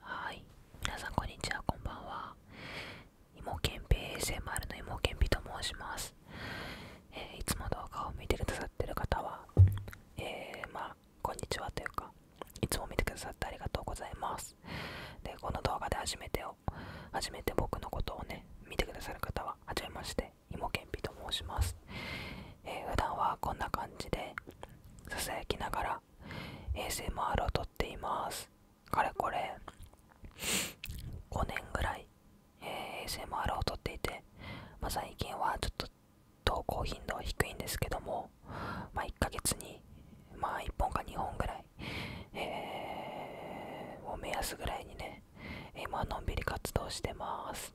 はい皆さんこんにちはこんばんはイモケン ASMR のイモケンと申します、えいつも動画を見てくださってる方はえまあこんにちはというかいつも見てくださってありがとうございますでこの動画で初めてを初めて僕のことをね見てくださる方は初めまして芋けんぴと申します、えー、普段はこんな感じでささやきながら ASMR を撮っていますかれこれ5年ぐらい、えー、ASMR を撮っていて、まあ、最近はちょっと投稿頻度低いんですけども、まあ、1ヶ月に、まあ、1本か2本ぐらい、えー、も目安ぐらいにね今のんびり活動してます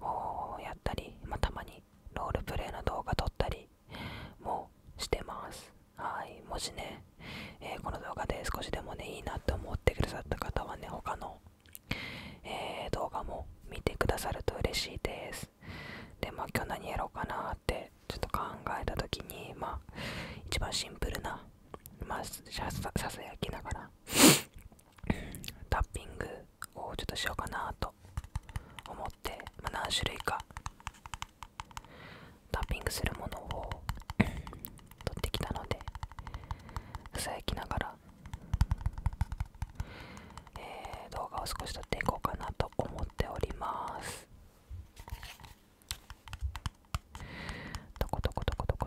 をやったり、またまにロールプレイの動画撮ったりもしてますはいもしね、えこの動画で少しでもねいいなって思ってくださった方はね他の、え動画も見てくださると嬉しいですでま今日何やろうかなってちょっと考えた時にまあ一番シンプルなまささやきながらタッピングをちょっとしようかなと思って、まあ、何種類かタッピングするものを 取ってきたのでさやきながら、えー、動画を少し撮っていこうかなと思っております。どこどこどこどこ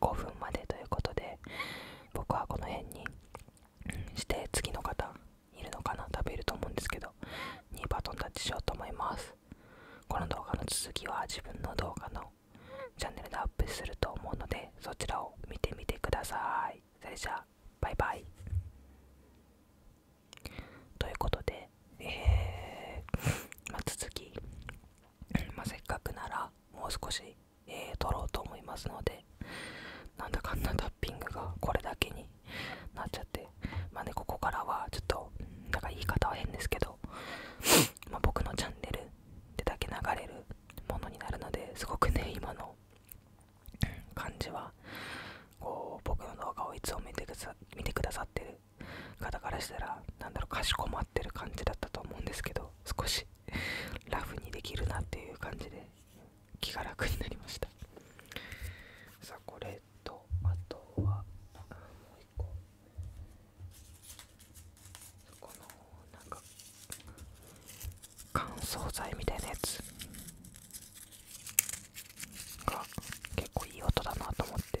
5分までということで僕はこの辺にして次の方いるのかな食べると思うんですけどにバトンタッチしようと思いますこの動画の続きは自分の動画のチャンネルでアップすると思うのでそちらを見てみてくださいそれじゃあバイバイということでえー、まあ、続きませっかくならもう少し、えー、撮ろうと思いますのでなんだかんだタッピングがこれだけになっちゃってまあねここからはちょっとなんか言い方は変ですけど ま僕のチャンネルでだけ流れるものになるのですごくね今の感じはこう僕の動画をいつも見てくださってる肩からしたらなんだろうかしこまってる感じだったと思うんですけど少しラフにできるなっていう感じで気が楽になりましたさあこれとあとはもう一個このなんか乾燥剤みたいなやつが結構いい音だなと思って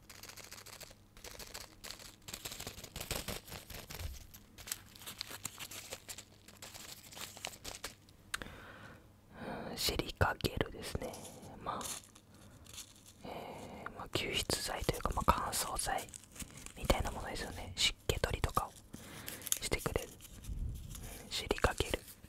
シリカゲルですねまあ、えー、まあ、吸湿剤というか、まあ、乾燥剤みたいなものですよね湿気取りとかをしてくれる、シリカゲル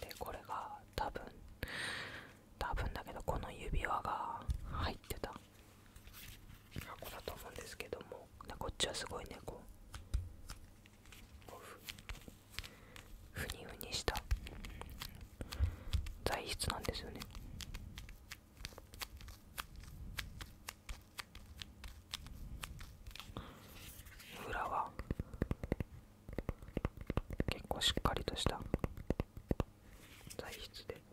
でこれが多分多分だけどこの指輪が入ってた箱だと思うんですけどもこっちはすごいねこうふにふにした材質なんですよね裏は結構しっかりとした材質で。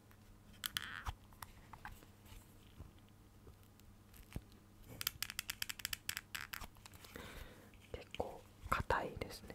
結構硬いですね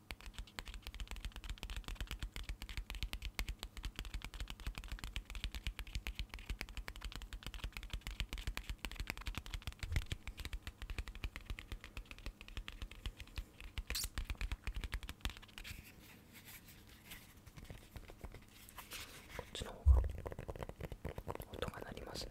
こっちの方が音が鳴りますね。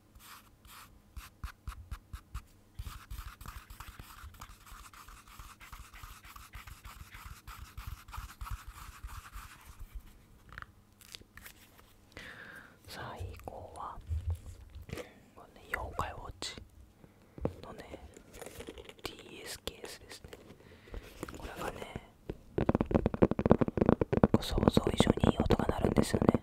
最後は、ね、妖怪ウォッチのね DS ケーですねこれがね想像以上にいい音が鳴るんですよね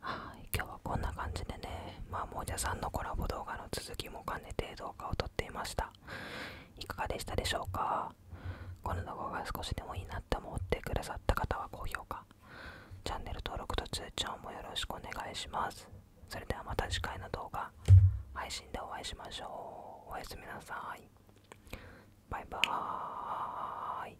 はい今日はこんな感じでねまあもじゃさんのコラボ動画の続きも兼ねて動画を撮っていましたいかがでしたでしょうかこの動画が少しでもいいなと思ってくださった方は高評価チャンネル登録と通知をもよろしくお願いしますそれではまた次回の動画配信でお会いしましょうおやすみなさいバイバーイ